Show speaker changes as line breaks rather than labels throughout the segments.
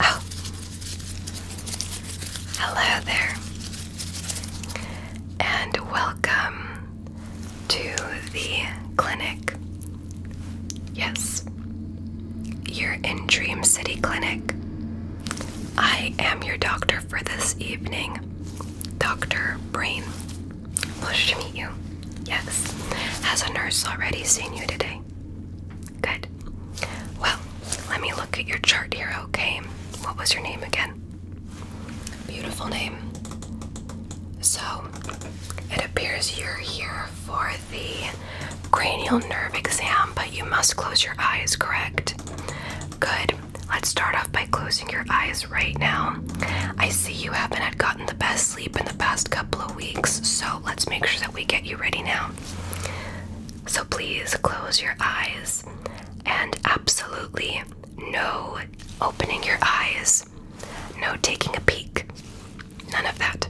Oh, hello there, and welcome to the clinic. Yes, you're in Dream City Clinic. I am your doctor for this evening, Dr. Brain. Pleased to meet you. Yes, has a nurse already seen you today? Good. Well, let me look at your chart here, okay? What was your name again? Beautiful name. So, it appears you're here for the cranial nerve exam, but you must close your eyes, correct? Good. Let's start off by closing your eyes right now. I see you haven't had gotten the best sleep in the past couple of weeks, so let's make sure that we get you ready now. So please close your eyes and absolutely no opening your eyes, no taking a peek, none of that.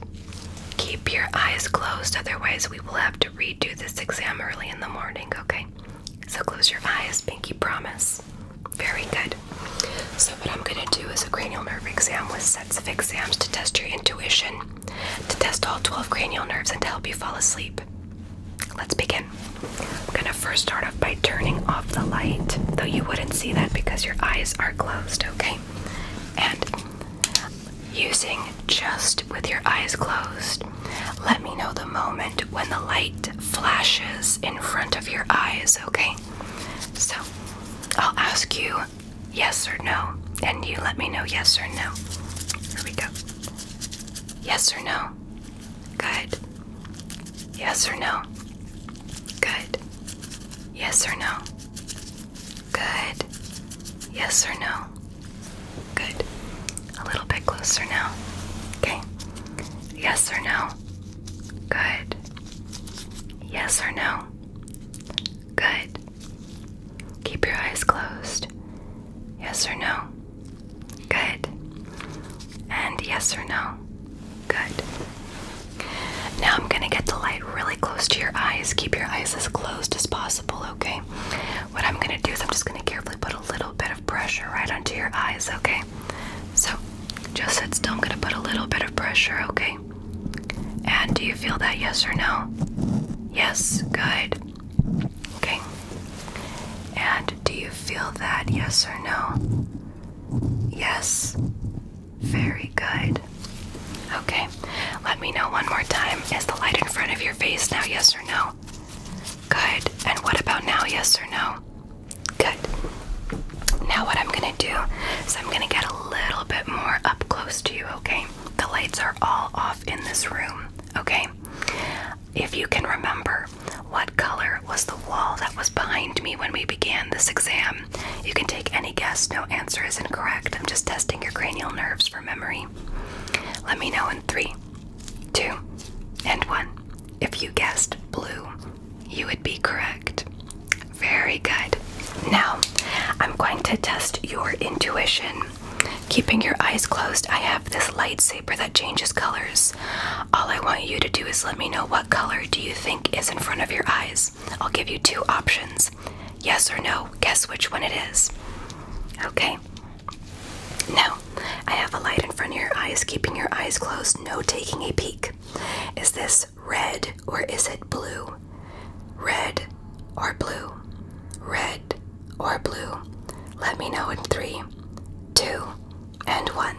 Keep your eyes closed, otherwise, we will have to redo this exam early in the morning, okay? So close your eyes, pinky promise. Very good. So, what I'm going to do is a cranial nerve exam with sets of exams to test your intuition to test all 12 cranial nerves and to help you fall asleep. Let's begin. I'm going to first start off by turning off the light, though you wouldn't see that because your eyes are closed, okay? And using just with your eyes closed, let me know the moment when the light flashes in front of your eyes, okay? So I'll ask you yes or no, and you let me know yes or no. Here we go. Yes or no? Good. Yes or no? Good. Yes or no? Good. Yes or no? Good. A little bit closer now. Okay. Yes or no? Good. Yes or no? Good. Keep your eyes closed. Yes or no? Good. And yes or no? Good. Now I'm going to get the light really close to your eyes. Keep your eyes as closed as possible, okay? What I'm going to do is I'm just going to carefully put a little bit of pressure right onto your eyes, okay? So just sit still. I'm going to put a little bit of pressure, okay? And do you feel that? Yes or no? Yes, good. Okay. And do you feel that? Yes or no? Yes. Very good. Okay. Let me know one more time. Is the light in front of your face now? Yes or no? Good. And what about now? Yes or no? Good. Now, what I'm going to do is I'm going to get a little bit more up close to you, okay? The lights are all off in this room, okay? If you can remember, what color was the wall that was behind me when we began this exam? You can take any guess, no answer is incorrect. I'm just testing your cranial nerves for memory. Let me know in three, two, and one. If you guessed blue, you would be correct. Very good. Now, I'm going to test your intuition. Keeping your eyes closed, I have this lightsaber that changes colors. All I want you to do is let me know what color do you think is in front of your eyes. I'll give you two options. Yes or no, guess which one it is. Okay. Now, I have a light in front of your eyes, keeping your eyes closed, no taking a peek. Is this red or is it blue? Red or blue? Red or blue? Let me know in three, two, and one.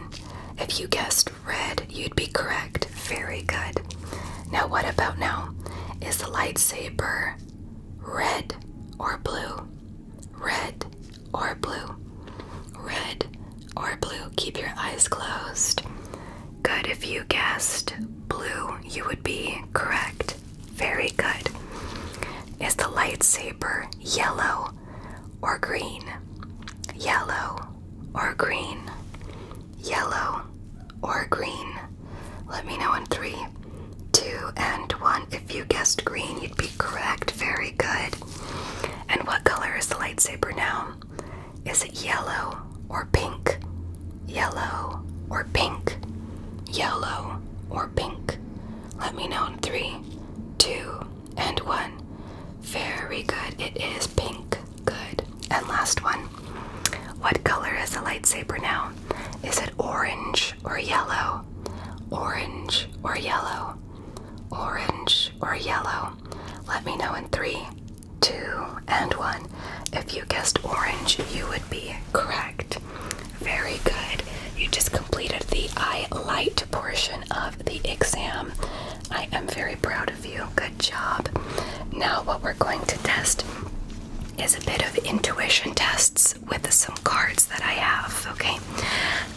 If you guessed red, you'd be correct. Very good. Now, what about now? Is the lightsaber red or blue? Red or blue? Red or blue? Keep your eyes closed. Good. If you guessed blue, you would be correct. Very good. Is the lightsaber yellow or green? Yellow or green? Yellow or green? Let me know in three, two, and one. If you guessed green, you'd be correct. Very good. And what color is the lightsaber now? Is it yellow or pink? yellow, or pink? Yellow or pink? Let me know in three, two, and one. Very good. It is pink. Good. And last one. What color is the lightsaber now? Is it orange or yellow? Orange or yellow? Orange or yellow? Let me know in three, two, and one. If you guessed orange, you would be correct. Very good. You just completed the eye light portion of the exam. I am very proud of you. Good job. Now, what we're going to test is a bit of intuition tests with some cards that I have. Okay,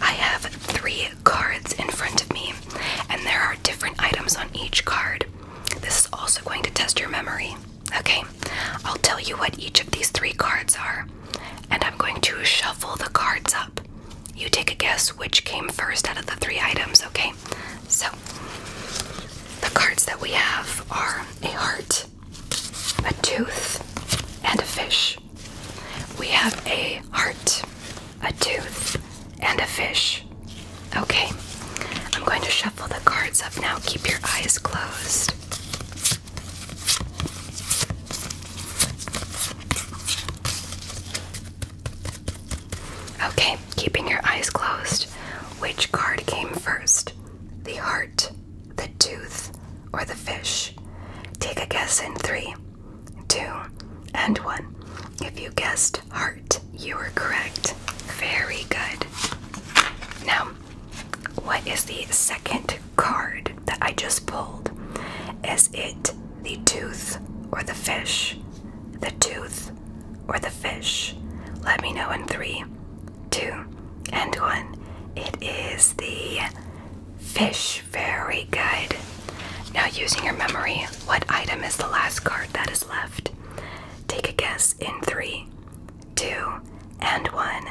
I have three cards in front of me, and there are different items on each card. This is also going to test your memory. Okay, I'll tell you what each of these three cards are, and I'm going to shuffle the cards up. You take a guess which came first out of the three items, okay? So, the cards that we have are a heart, a tooth, and a fish. We have a heart, a tooth, and a fish. Okay, I'm going to shuffle shuffle the cards up now. Keep your eyes closed. Okay, keeping your eyes closed. Which card came first? The heart, the tooth, or the fish? Take a guess in three, two, and one. If you guessed heart, you were correct. Very good. Now, what is the second card that I just pulled? Is it the tooth or the fish? The tooth or the fish? Let me know in three, two, and one. It is the fish. Very good. Now, using your memory, what item is the last card that is left? Take a guess in three, two, and one.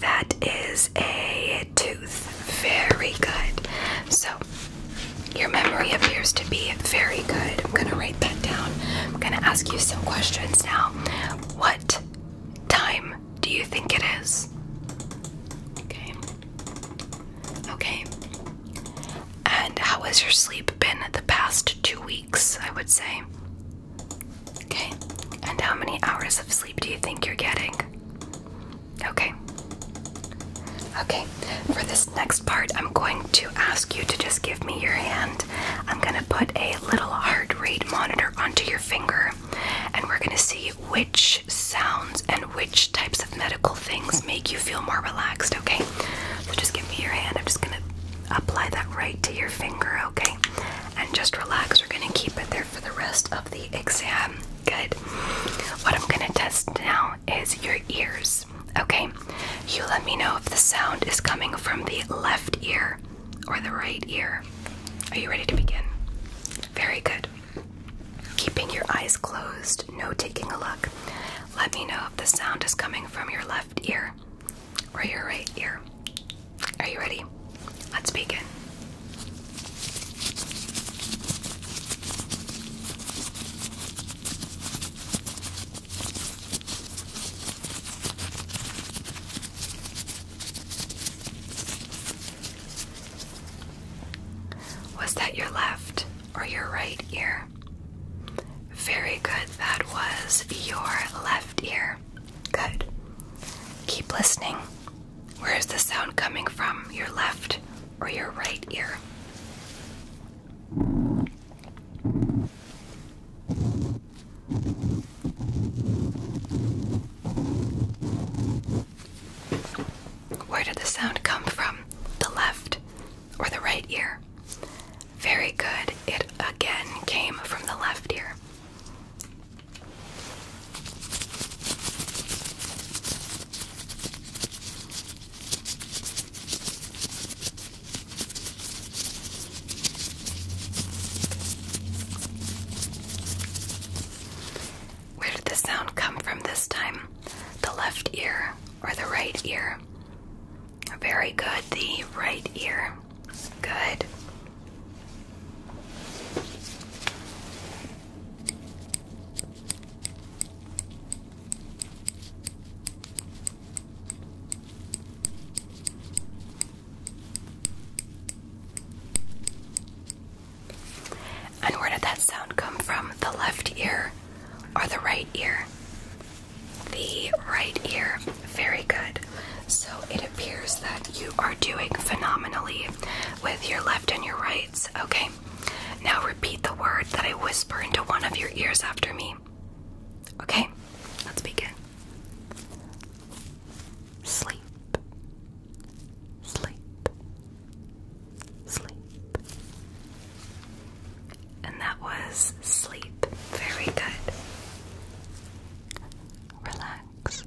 That is a tooth. Very good. So, your memory appears to be very good. I'm going to write that down. I'm going to ask you some questions now. What time do you think it is? Okay. Okay. And how has your sleep been the past two weeks? I would say. Okay, and how many hours of sleep do you think you're getting? Okay. Okay, for this next part, I'm going to ask you to just give me your hand. I'm gonna put a little heart rate monitor onto your finger, and we're gonna see which sounds and which types of medical things make you feel more relaxed, okay? So just give me your hand. I'm just gonna Apply that right to your finger, okay? And just relax. We're going to keep it there for the rest of the exam. Good. What I'm going to test now is your ears, okay? You let me know if the sound is coming from the left ear or the right ear. Are you ready to begin? Very good. Keeping your eyes closed, no taking a look. Let me know if the sound is coming from your left ear or your right ear. Are you ready? Let's begin. Was that your left or your right ear? Very good, that was your left ear. Good. Keep listening. Where is the sound coming from? Your left or your right ear? Where did the sound come from? The left or the right ear? Very good. It again came from the left ear. Where did the sound come from this time? The left ear or the right ear? Very good. The right ear. Good. And where did that sound come from? The left ear or the right ear? the right ear. Very good. So it appears that you are doing phenomenally with your left and your rights. Okay. Now repeat the word that I whisper into one of your ears after me. Okay, let's begin. Sleep. Sleep. Sleep. And that was sleep. Very good relax,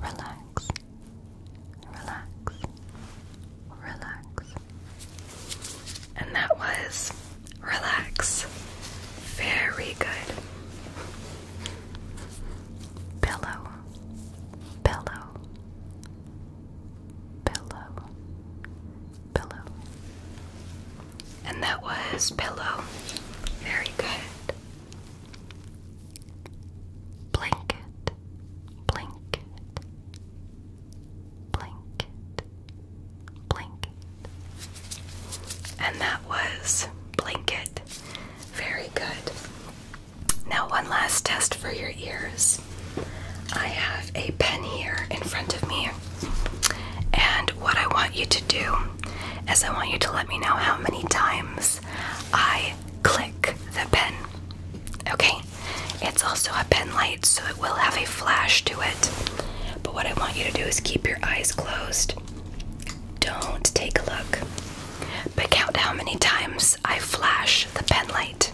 relax, relax, relax. And that was relax. Very good. Pillow, pillow, pillow, pillow, and that was pillow. Very good. Blanket, blanket, blanket, blanket. And that was blanket. Very good. Now, one last test for your ears. I have a pen here in front of me, and what I want you to do as I want you to let me know how many times I click the pen. Okay? It's also a pen light, so it will have a flash to it. But what I want you to do is keep your eyes closed. Don't take a look. But count how many times I flash the pen light.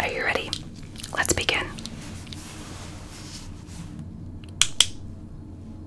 Are you ready? Let's begin.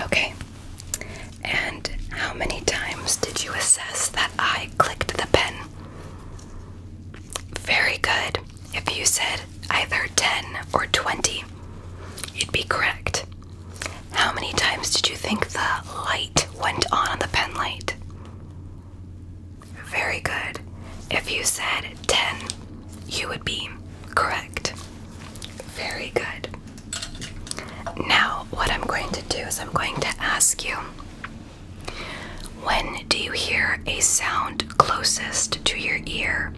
Okay, and how many times did you assess that I clicked the pen? Very good. If you said either 10 or 20, you'd be correct. How many times did you think the light went on on the pen light? Very good. If you said 10, you would be correct. Very good. Now, what I'm going to do is I'm going to ask you when do you hear a sound closest to your ear?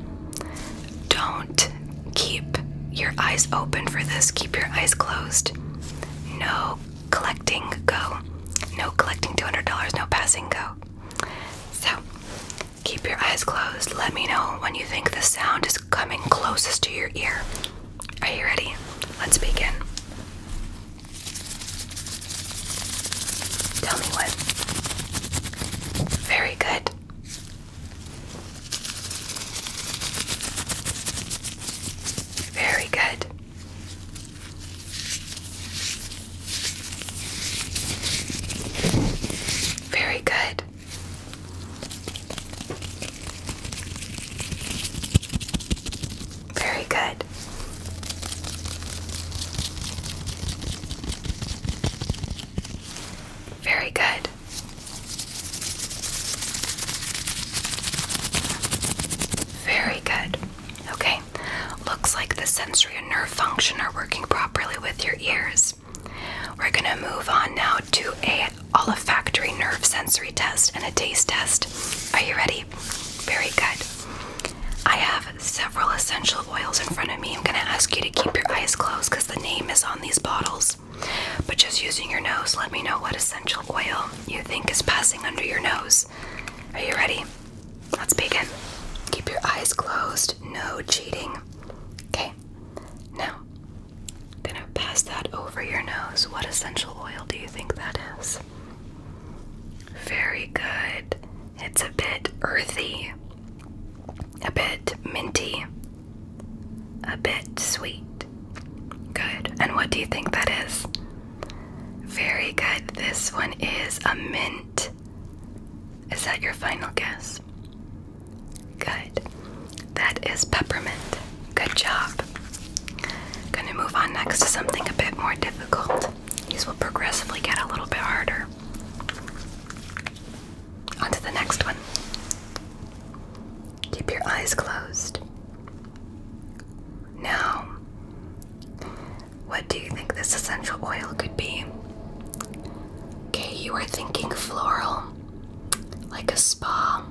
Don't keep your eyes open for this. Keep your eyes closed. No collecting go. No collecting $200. No passing go. So keep your eyes closed. Let me know when you think the sound is coming closest to your ear. Are you ready? Let's begin. Tell me what. Very good. Very good. Very good. Very good. Very good. Very good. Okay, looks like the sensory and nerve function are working properly with your ears. We're gonna move on now to a olfactory nerve sensory test and a taste test. Are you ready? Very good. I have several essential oils in front of me. I'm gonna ask you to keep your eyes closed because the name is on these bottles. But just using your nose, let me know what essential oil you think is passing under your nose. Are you ready? Let's begin. Keep your eyes closed, no cheating. Okay, now I'm gonna pass that over your nose. What essential oil do you think that is? Very good. It's a bit earthy a bit minty, a bit sweet. Good. And what do you think that is? Very good. This one is a mint. Is that your final guess? Good. That is peppermint. Good job. Gonna move on next to something a bit more difficult. These will progressively get a little bit harder. On to the next one. Keep your eyes closed. Now, what do you think this essential oil could be? Okay, you are thinking floral, like a spa,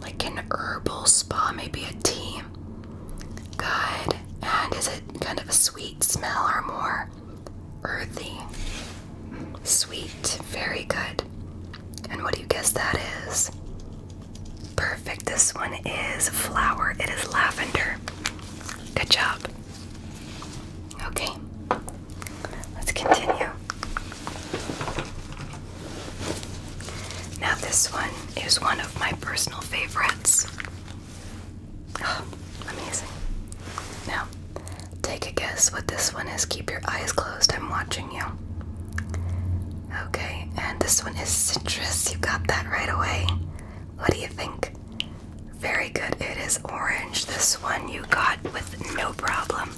like an herbal spa, maybe a tea. Good. And is it kind of a sweet smell or more? earthy. Sweet, very good. And what do you guess that is? Perfect. This one is flower. It is lavender. Good job. Okay. Let's continue. Now this one is one of my personal favorites. Oh, amazing. Now, Take a guess what this one is. Keep your eyes closed. I'm watching you. Okay, and this one is citrus. You got that right away. What do you think? Very good. It is orange. This one you got with no problem.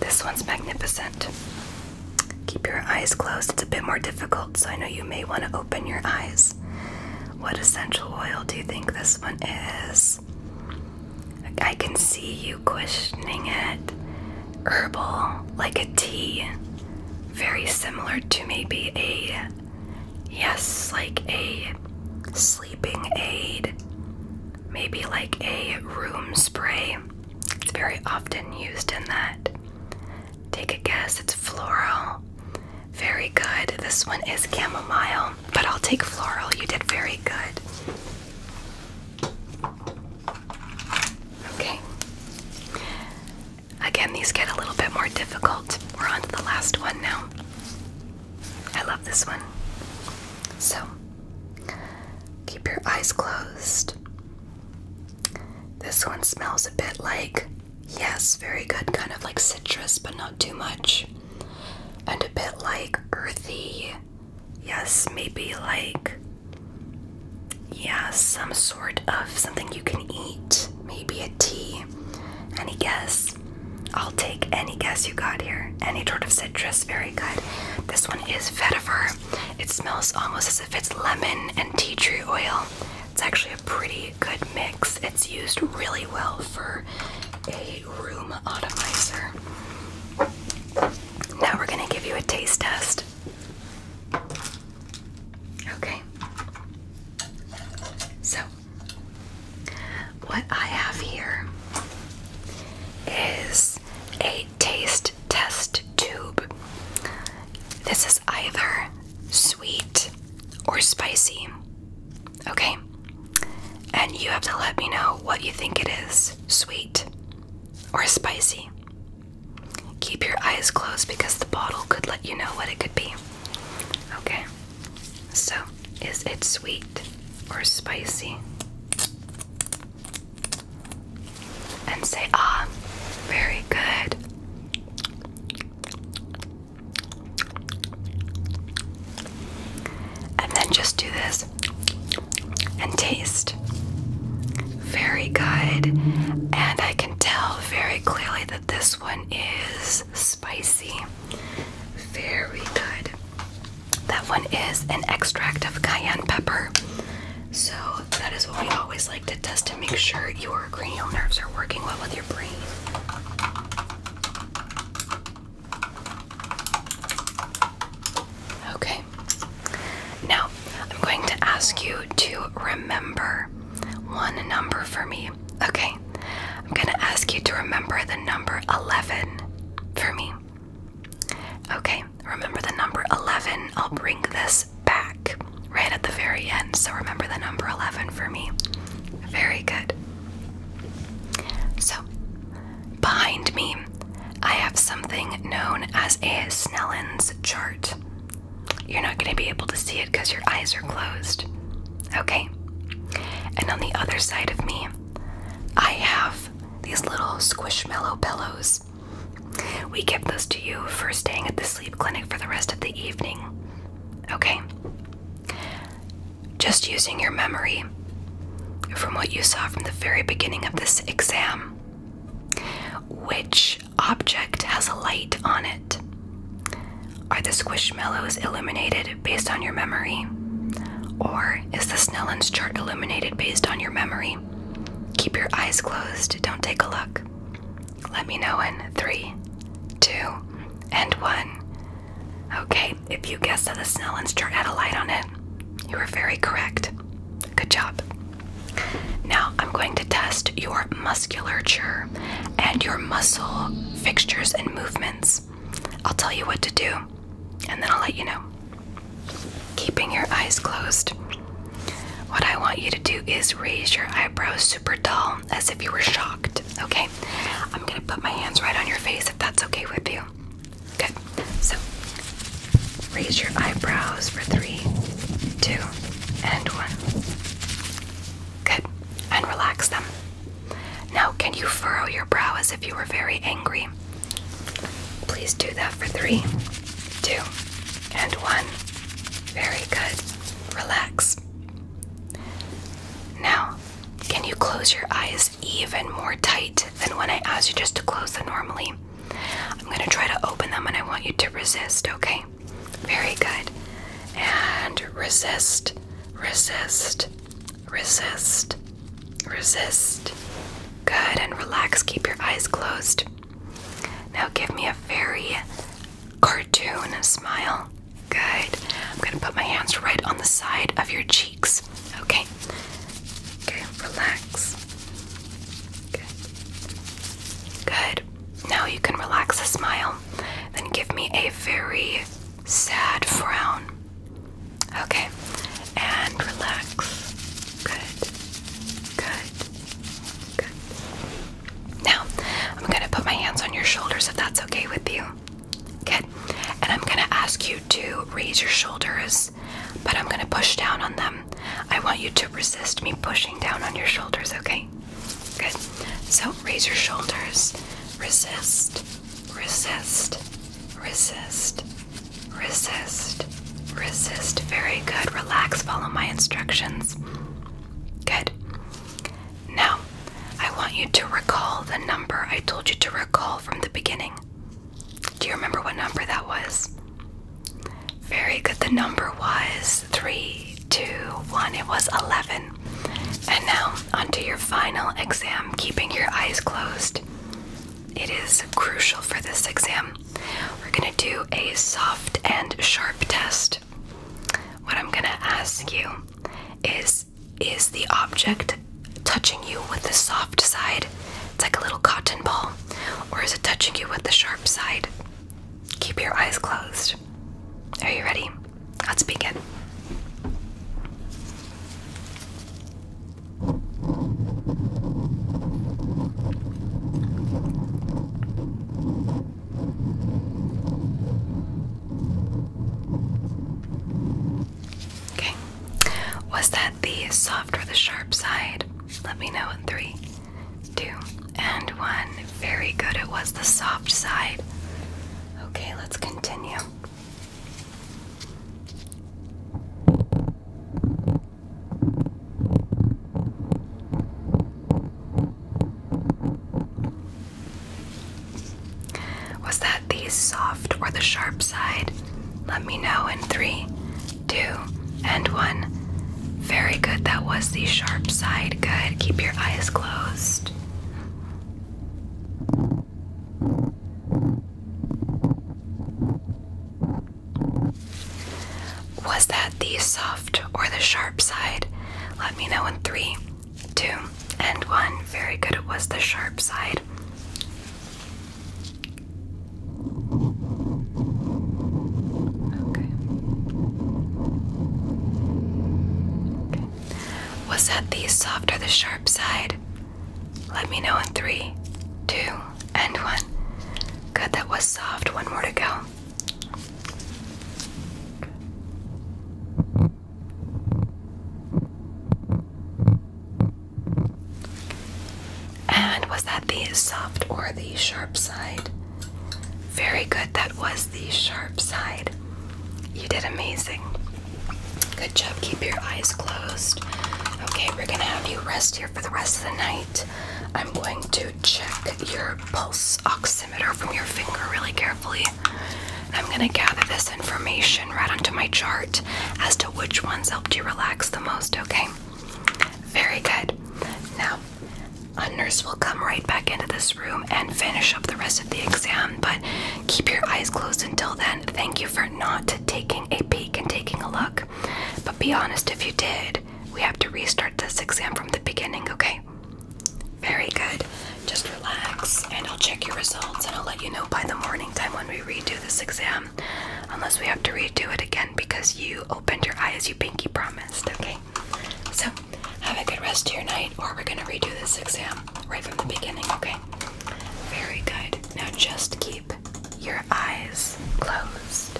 This one's magnificent. Keep your eyes closed. It's a bit more difficult, so I know you may want to open your eyes. What essential oil do you think this one is? I can see you questioning it. Herbal, like a tea. Very similar to maybe a, yes, like a sleeping aid. Maybe like a room spray. It's very often used in that. Take a guess, it's floral. Very good. This one is chamomile, but I'll take floral. You did very good. Okay. Again, these get a little bit more difficult. We're on to the last one now. I love this one. So, keep your eyes closed. This one smells a bit like, yes, very good, kind of like citrus, but not too much. And a bit like earthy, yes, maybe like, yeah, some sort of something you can eat, maybe a tea. Any guess? I'll take any guess you got here. Any sort of citrus, very good. This one is vetiver. It smells almost as if it's lemon and tea tree oil. It's actually a pretty good mix. It's used really well for a room atomizer. Now we're going to give you a taste test. Okay. So, what I have here is a taste test tube. This is either sweet or spicy. Okay? And you have to let me know what you think it is sweet or spicy. Keep your eyes closed because the bottle could let you know what it could be. Okay? So, is it sweet or spicy? and say, ah, very good. And then just do this and taste. Very good. And I can tell very clearly that this one is spicy. Very good. That one is an extract of cayenne pepper. So that is what we always like to test to make sure your cranial nerves are working well with your brain. Okay. Now, I'm going to ask you to remember one number for me. Okay. I'm going to ask you to remember the number 11 for me. Okay. Remember the number 11. I'll bring this back right at the very end. So remember the number 11 for me. Very good. So, behind me, I have something known as a Snellin's chart. You're not going to be able to see it because your eyes are closed. Okay? And on the other side of me, I have these little squishmallow pillows. We give those to you for staying at the sleep clinic for the rest of the evening. Okay? Just using your memory from what you saw from the very beginning of this exam. Which object has a light on it? Are the squish squishmallows illuminated based on your memory? Or is the Snellen's chart illuminated based on your memory? Keep your eyes closed, don't take a look. Let me know in three, two, and one. Okay, if you guessed that the Snellen chart had a light on it, you were very correct. Good job. Now I'm going to test your musculature and your muscle fixtures and movements. I'll tell you what to do, and then I'll let you know keeping your eyes closed. What I want you to do is raise your eyebrows super tall as if you were shocked, okay? I'm gonna put my hands right on your face if that's okay with you. Good. So raise your eyebrows for three, two, and one. Good. And relax them. Now, can you furrow your brow as if you were very angry? Please do that for three, two, and one. Very good. Relax. Now, can you close your eyes even more tight than when I asked you just to close them normally? I'm going to try to open them and I want you to resist, okay? Very good. And resist, resist, resist, resist. Good, and relax. Keep your eyes closed. Now give me a very cartoon smile. Good. I'm gonna put my hands right on the side of your cheeks. Okay. Okay, relax. Good. Now you can relax a smile. Then give me a very sad frown. Okay. And relax. Good. Good. Now, I'm gonna put my hands on your shoulders if that's okay with you. Good. And I'm gonna ask you to raise your shoulders, but I'm gonna push down on them. I want you to resist me pushing down on your shoulders, okay? Good. So raise your shoulders. Resist, resist, resist, resist, Resist. Very good. Relax. Follow my instructions. Good. Now, I want you to recall the number I told you to recall from the beginning. Do you remember what number that was? Very good. The number was three, two, one. It was 11. And now, onto your final exam, keeping your eyes closed. It is crucial for this exam we're gonna do a soft and sharp test. What I'm gonna ask you is Is the object touching you with the soft side? It's like a little cotton ball. Or is it touching you with the sharp side? Keep your eyes closed. Are you ready? Let's begin. Okay. Was that the soft or the sharp side? Let me know in three, two, and one. Very good. It was the soft side. Okay, let's continue. Was that the soft or the sharp side? Let me know in three, two, and one. Very good, that was the sharp side. Good, keep your eyes closed. Was that the soft or the sharp side? Let me know in three, two, and one. Very good, it was the sharp side. Okay. Was that the soft or the sharp side? Let me know in three, two, and one. Good, that was soft. One more to go. And was that the soft or the sharp side? Very good. That was the sharp side. You did amazing. Good job. Keep your eyes closed. Okay, we're going to have you rest here for the rest of the night. I'm going to check your pulse oximeter from your finger really carefully. I'm going to gather this information right onto my chart as to which ones helped you relax the most, okay? Very good. Now, a nurse will come right back into this room and finish up the rest of the exam, but keep your eyes closed until then. Thank you for not taking a peek and taking a look. But be honest if you did. We have to restart this exam from the beginning, okay? Very good. Just relax and I'll check your results and I'll let you know by the morning time when we redo this exam. Unless we have to redo it again because you opened your eyes, you pinky promised, okay? So, have a good rest of your night or we're gonna redo this exam right from the beginning, okay? Very good. Now just keep your eyes closed.